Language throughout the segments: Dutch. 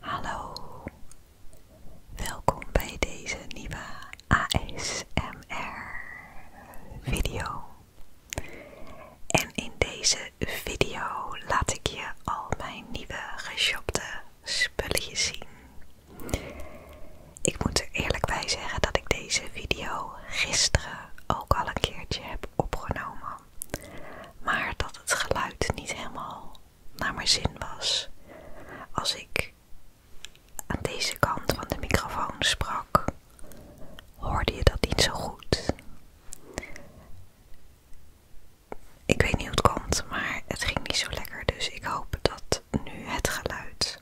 Hallo, welkom bij deze nieuwe ASMR video. En in deze video laat ik je al mijn nieuwe geshopte spulletjes zien. Ik moet er eerlijk bij zeggen dat ik deze video gisteren ook al een keertje heb opgenomen, maar dat het geluid niet helemaal naar mijn zin was. Als ik aan deze kant van de microfoon sprak, hoorde je dat niet zo goed. Ik weet niet hoe het komt, maar het ging niet zo lekker, dus ik hoop dat nu het geluid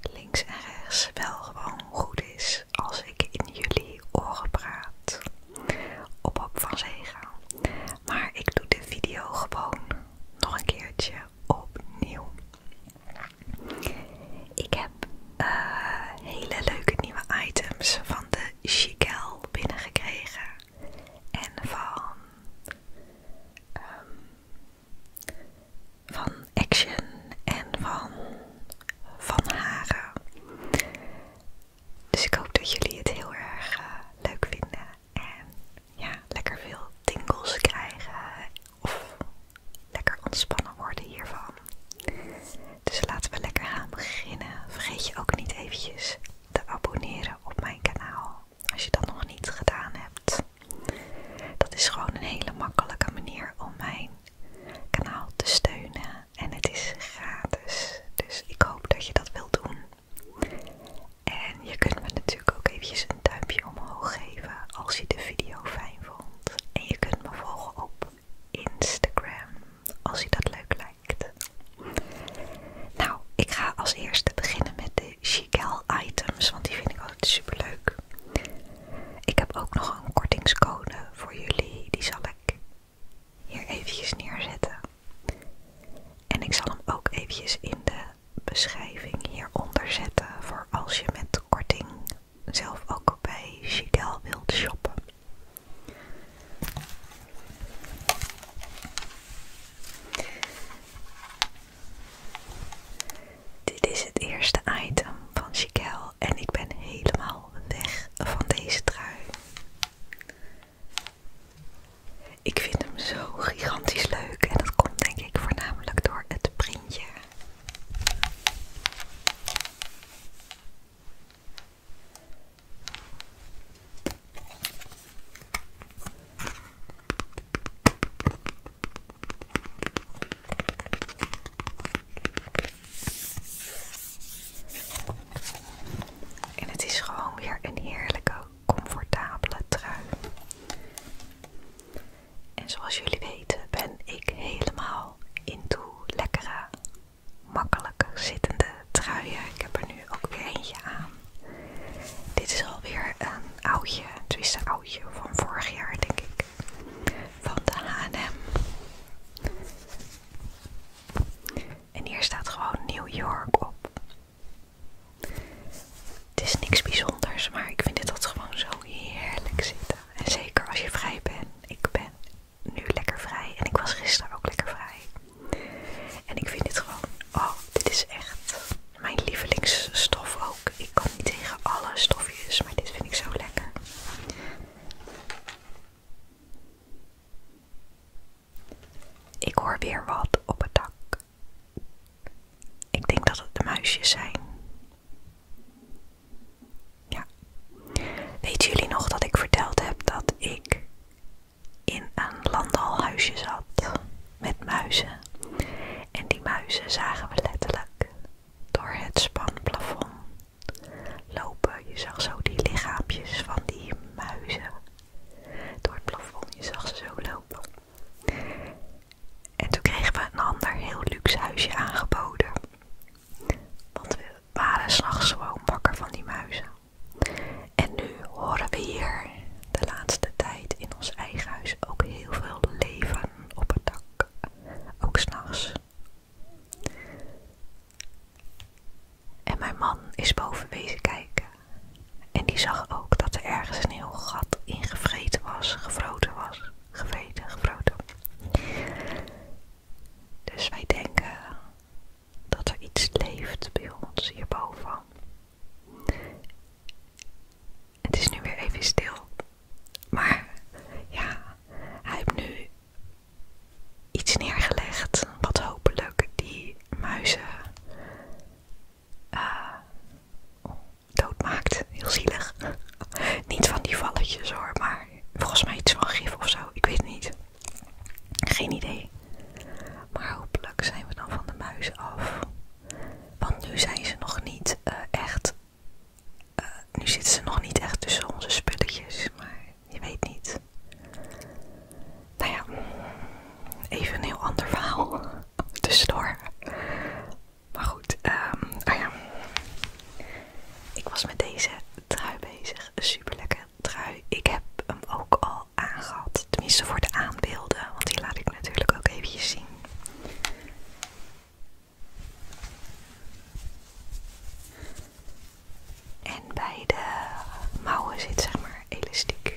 links en rechts wel gewoon goed is als ik in jullie Ogenpraat op van Zegen. Maar ik doe de video gewoon nog een keertje opnieuw. Ik heb eh, hele leuke nieuwe items van de Chicel binnengekregen. En van, ehm, van Action en van Van Haren. Dus ik hoop dat jullie het heel erg eh, leuk vinden. En ja, lekker veel tingles krijgen. Of lekker ontspannen worden hiervan. Dus laten we lekker gaan beginnen. Vergeet je ook niet eventjes te abonneren op mijn kanaal. Als je dat nog niet gedaan hebt. Dat is gewoon een hele makkelijke manier om mijn kanaal te steunen en het is gratis. Dus ik hoop dat je dat wilt doen. En je kunt me natuurlijk ook eventjes een duimpje omhoog geven als je de video fijn vond. En je kunt me volgen op Instagram als je dat leuk lijkt. Nou, ik ga als eerste beginnen met de Chicel items, want die vind ik altijd super leuk. Ik heb ook nog een kortingscode voor jullie, die zal ik hier eventjes neerzetten. En ik zal hem ook eventjes in de beschrijving hieronder zetten voor als je met korting zelf ook bij Chigel wilt shoppen. Dit is het eerste item van Chigel en ik ben helemaal weg van deze trui. Ik vind hem zo gigantisch leuk en dat komt denk ik voornamelijk door het printje. En het is gewoon weer een heerlijke, comfortabele trui. En zoals jullie weten ben ik helemaal into lekkere, makkelijk zittende truien. Ik heb er nu ook weer eentje aan. Dit is alweer een oudje, twiste oudje van vorig jaar denk ik, van de H&M. En hier staat gewoon New York op. Het is niks bijzonders, maar ik vind dit dat gewoon zo heerlijk zitten. En zeker als je vrij bent. Ik ben nu lekker vrij en ik was gisteren ook lekker vrij. En ik vind dit gewoon, oh, dit is echt mijn lievelingsstof ook. Ik kan niet tegen alle stofjes, maar dit vind ik zo lekker. Ik hoor weer wat op het dak. Ik denk dat het de muisjes zijn. Ja. Weet jullie nog dat ik verteld heb dat ik in een landalhuisje zat met muizen? En die muizen zagen we letterlijk door het spanplafond lopen. Je zag zo die lichaampjes van die muizen door het plafond. Je zag ze zo lopen. En toen kregen we een ander heel luxe huisje aangeboden. Want we waren s'nachts gewoon wakker van die muizen. En nu horen we hier de laatste tijd in ons eigen huis ook heel veel leven op het dak. Ook s'nachts en mijn man is boven wezen kijken. En die zag ook dat er ergens een heel gat ingevreten was, gevroten was, gevreten, gevroten. Dus wij denken dat er iets leeft bij ons hierboven. Het is nu weer even stil. Maar ja, hij heeft nu iets neergelegd wat hopelijk die muizen eh, doodmaakt. Heel zielig. niet van die valletjes hoor, maar volgens mij iets van gif of zo. Ik weet het niet. Geen idee. Maar hopelijk zijn we dan van de muizen af. Want nu zijn ze nog niet eh, echt. Eh, nu zitten ze nog niet echt tussen onze spulletjes. Maar je weet niet. Nou ja, even een heel ander verhaal. Tussendoor. Maar goed, ehm, ah ja. Ik was met deze trui bezig. Een super trui. Ik heb hem ook al aangehad. Tenminste voor de aanbeelden. Want die laat ik natuurlijk ook even zien. En bij de mouwen zit zeg maar elastiek.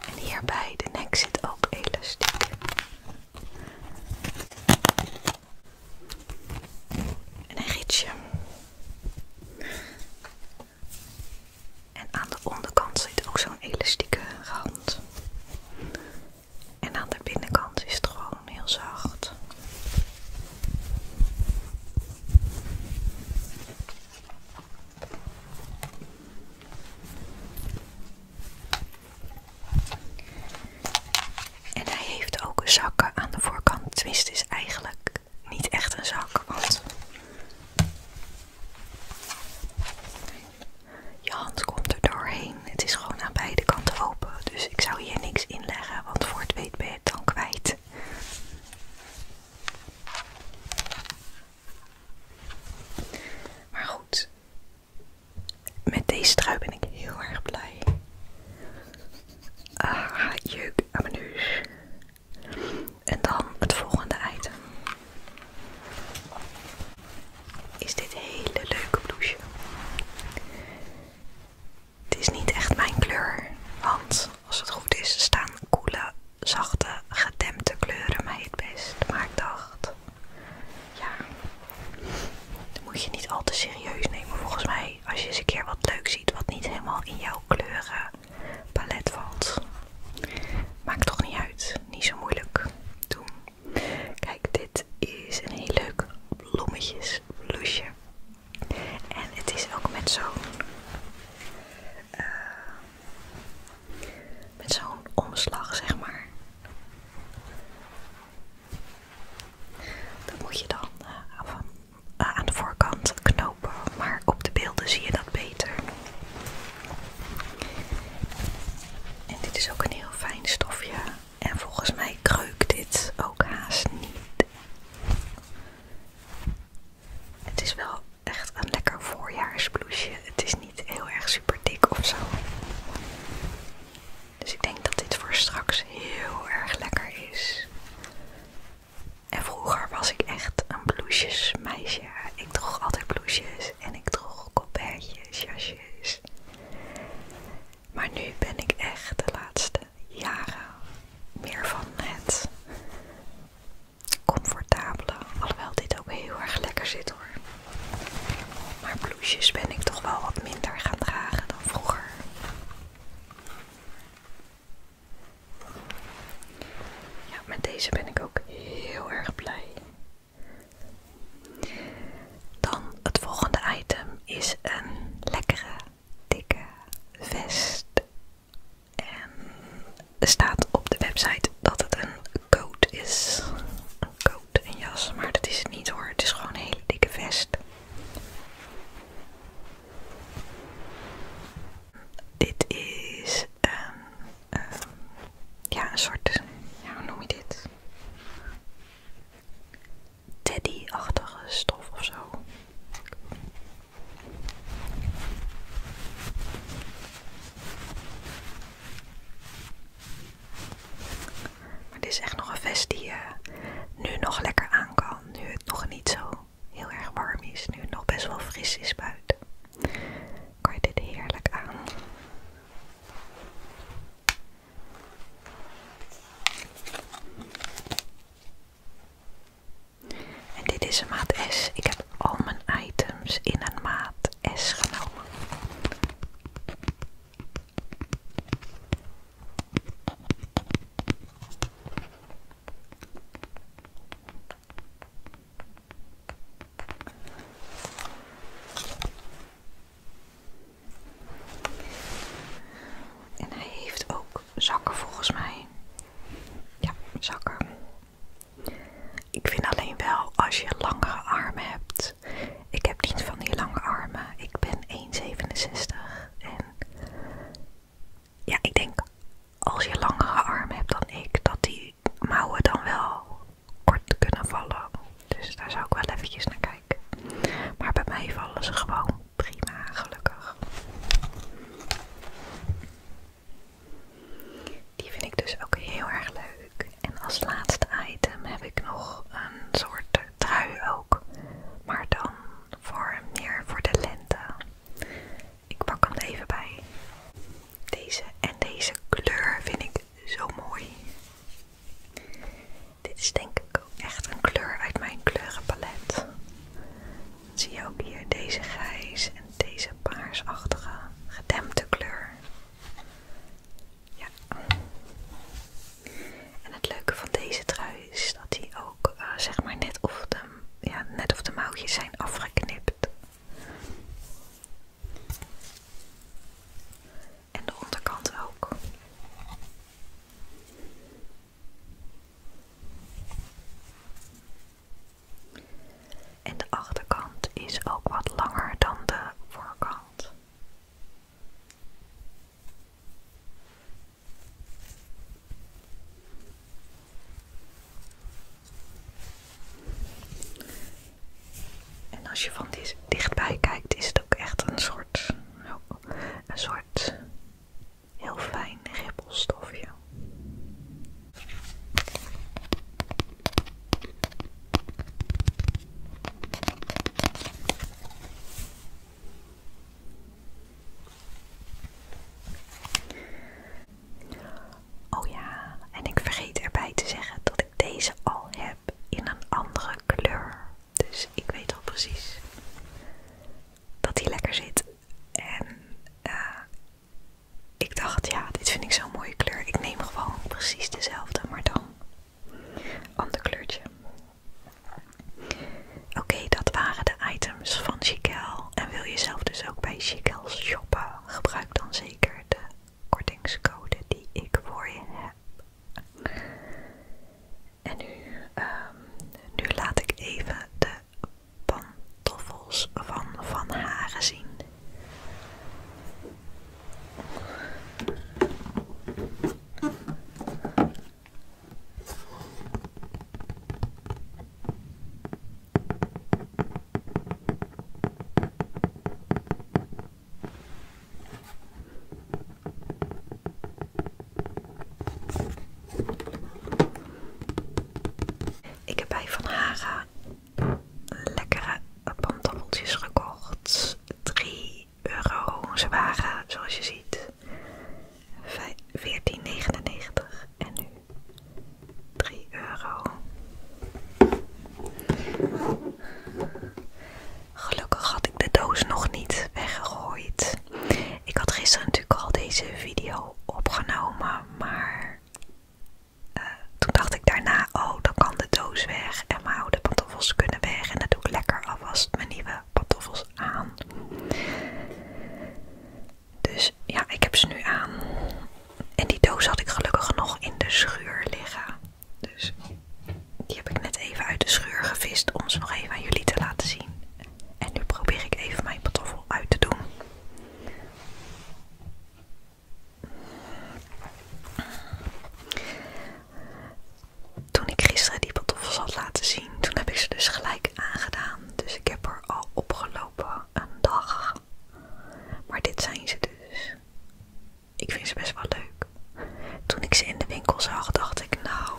En hier bij de nek zit ook elastiek. En een rietje. En aan de onderkant zit ook zo'n elastieke rand. En aan de binnenkant is het gewoon heel zacht. En hij heeft ook een zakken aan de voorkant. Twist is eigenlijk niet echt een zak, je hand komt er doorheen. Het is gewoon aan beide kanten open. Dus ik zou hier niks inleggen, want voor het weet ben je het dan kwijt. Maar goed, met deze trui ben ik heel erg blij. Ah, jeuk aan mijn neus. En dan het volgende item is dit hele leuke bloesje. Het is niet echt mijn kleur, want als het goed is staan koele, zachte, gedempte kleuren mij het best. Maar ik dacht, ja, dat moet je niet al te serieus nemen. Volgens mij, als je eens een keer wat leuk ziet wat niet helemaal in jouw kleurenpalet valt, maakt toch niet uit. Niet zo moeilijk Doe. Kijk, dit is een heel leuk bloemetjesbloesje. En het is ook met zo'n eh, met zo'n omslag, zeg maar. Dat moet je dan eh, eh, aan de voorkant knopen, maar op de beelden zie je dat beter. En dit is ook een heel fijn stofje. En volgens mij kreukt dit ook haast niet. Het is wel echt een lekker voorjaarsbloesje. Het is niet heel erg super dik of zo. Dus ik denk dat dit voor straks heel erg lekker is. En vroeger was ik echt een bloesjesmeisje. Ik droeg altijd bloesjes en ik droeg colbertjes, jasjes. Maar nu ben ik echt de laatste jaren meer van het comfortabele, alhoewel dit ook heel erg lekker zit hoor. Maar blouses ben ik toch wel wat minder gaan dragen dan vroeger. Ja, met deze ben ik ook heel erg blij. Dan het volgende item is een lekkere, dikke vest. En er staat op de website dat het een coat is. Een coat, en jas, maar dat is het niet hoor. Het is gewoon een hele dikke vest. Dit is een eh, ja, een soort, hoe noem je dit? Teddy-achtige stof of zo. Maar dit is echt nog een vest die eh, nu nog lekker aan kan. Nu het nog niet zo heel erg warm is. Nu het nog best wel fris is buiten kan je dit heerlijk aan. En dit is een maat S. Ik heb al mijn items in een maat S genomen. En hij heeft ook zakken volgens mij. Ja, zakken. Ik vind alleen wel als je langere armen hebt. Ik heb niet van die lange armen. Ik ben 1,67. En ja, ik denk als je langere armen hebt dan ik, dat die mouwen dan wel kort kunnen vallen. Dus daar zou ik wel eventjes naar kijken. Maar bij mij vallen ze gewoon prima, gelukkig. Die vind ik dus ook heel erg leuk. En als laatste item heb ik nog een soort trui ook. Maar dan voor meer voor de lente. Ik pak hem even bij. Deze en deze kleur vind ik zo mooi. Dit is denk ik ook echt een kleur uit mijn kleurenpalet. zie je ook hier deze grijs en deze paarsachtige gedempte kleur. Ja. En het leuke van deze trui is dat die ook eh, zeg maar net of, de, ja, net of de mouwtjes zijn afgeknipt. En de onderkant ook. En de achterkant is ook wat langer dan de voorkant. En als je van dit dichtbij kijkt, is het ook echt een soort, een soort heel fijn ribbelstofje. Oh ja, en ik vergeet erbij te zeggen dat ik deze al heb in een andere kleur. Dus ik weet al precies dat die lekker zit. En eh, ik dacht, ja, dit vind ik zo'n mooie kleur. Ik neem gewoon precies dezelfde, maar dan ander kleurtje. Oké, dat waren de items van Chiquel. En wil je zelf dus ook bij Chiquel shoppen? Gebruik dan zeker de kortingscode die ik voor je heb. En nu, ehm, nu laat ik even de pantoffels van Van Haren zien. Ik heb bij Van Haga lekkere pantoffeltjes gekocht. 3 euro. Ze waren, zoals je ziet, 14,99 en nu 3 euro. Gelukkig had ik de doos nog niet weggegooid. Ik had gisteren natuurlijk al deze video opgenomen, maar eh, toen dacht ik daarna, oh dan kan de doos weg en mijn oude pantoffels kunnen weg. En dan doe ik lekker alvast mijn nieuwe pantoffels aan. Dus ja, ik heb ze nu aan. En die doos had ik gelukkig nog in de schuur liggen. Dus die heb ik net even uit de schuur gevist om ze nog even aan jullie te laten zien. En nu probeer ik even mijn pantoffel uit te doen. Toen ik gisteren die pantoffels had laten zien, toen heb ik ze dus gelijk aangedaan. Dus ik heb er al opgelopen een dag. Maar dit zijn ze dus ik vind ze best wel leuk. Toen ik ze in de winkel zag, dacht ik, nou,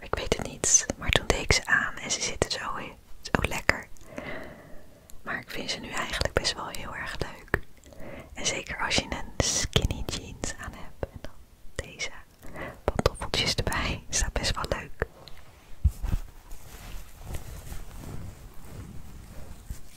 ik weet het niet. Maar toen deed ik ze aan en ze zitten zo, ook lekker. Maar ik vind ze nu eigenlijk best wel heel erg leuk. En zeker als je een skinny jeans aan hebt en dan deze pantoffeltjes erbij, staat best wel leuk.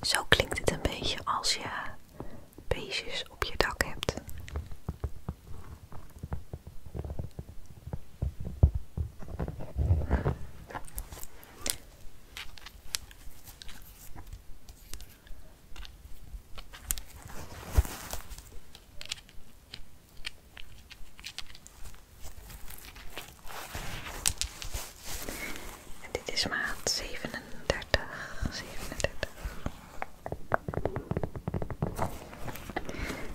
Zo klinkt het een beetje als je beestjes op je dak hebt dit is maat 37. 37.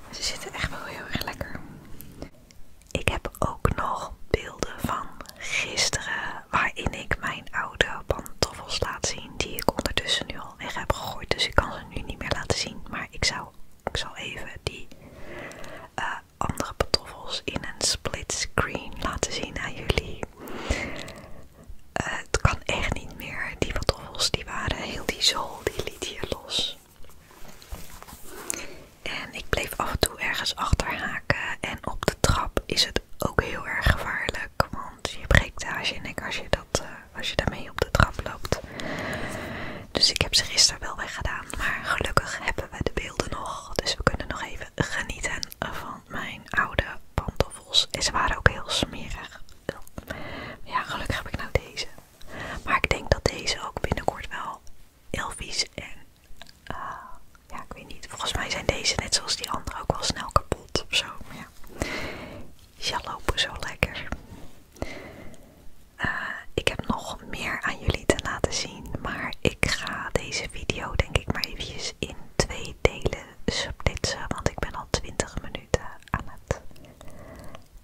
Ze zitten echt wel heel erg lekker. Ik heb ook nog beelden van gisteren waarin ik mijn oude pantoffels laat zien die ik ondertussen nu al weg heb gegooid. Dus ik kan ze nu niet meer laten zien. Maar ik, zou, ik zal even die eh, andere pantoffels in een split screen laten zien aan jullie. Eh, het kan echt niet meer. Die pantoffels die waren heel die zool, die liet hier los. En ik bleef af en toe ergens achterhaken. En op de trap is het ook heel erg gevaarlijk. Want je breekt haasje en nek als je, dat, eh, als je daarmee op de trap loopt. Dus ik heb ze gisteren wel weggedaan. Maar gelukkig hebben we de beelden nog. Dus we kunnen nog even genieten van mijn oude pantoffels. En ze waren ook heel smerig. Ja, gelukkig heb ik nou deze. Maar ik denk dat deze ook binnenkort wel heel vies en... Eh, ja, ik weet niet. Volgens mij zijn deze net zoals die andere ook wel snel kapot of zo. ja, ze lopen zo lekker. Eh, ik heb nog meer aan jullie te laten zien. Maar ik ga deze video denk ik maar eventjes in twee delen splitsen. Want ik ben al 20 minuten aan het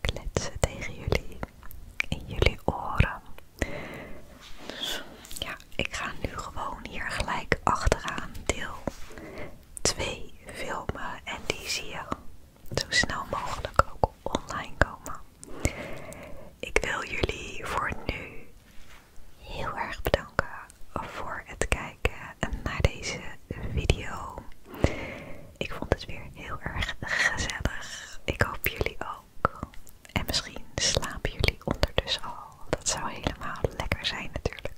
kletsen tegen jullie. In jullie oren. Dus, ja, ik ga nu gewoon hier gelijk achteraan deel 2 filmen. En die zie je zo snel mogelijk ook online komen. Ik wil jullie voor nu heel erg bedanken voor het kijken naar deze video. Ik vond het weer heel erg gezellig. Ik hoop jullie ook. En misschien slapen jullie ondertussen al. Dat zou helemaal lekker zijn natuurlijk.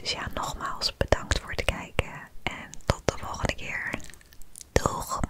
Dus ja, nogmaals bedankt voor het kijken. En tot de volgende keer. Doeg!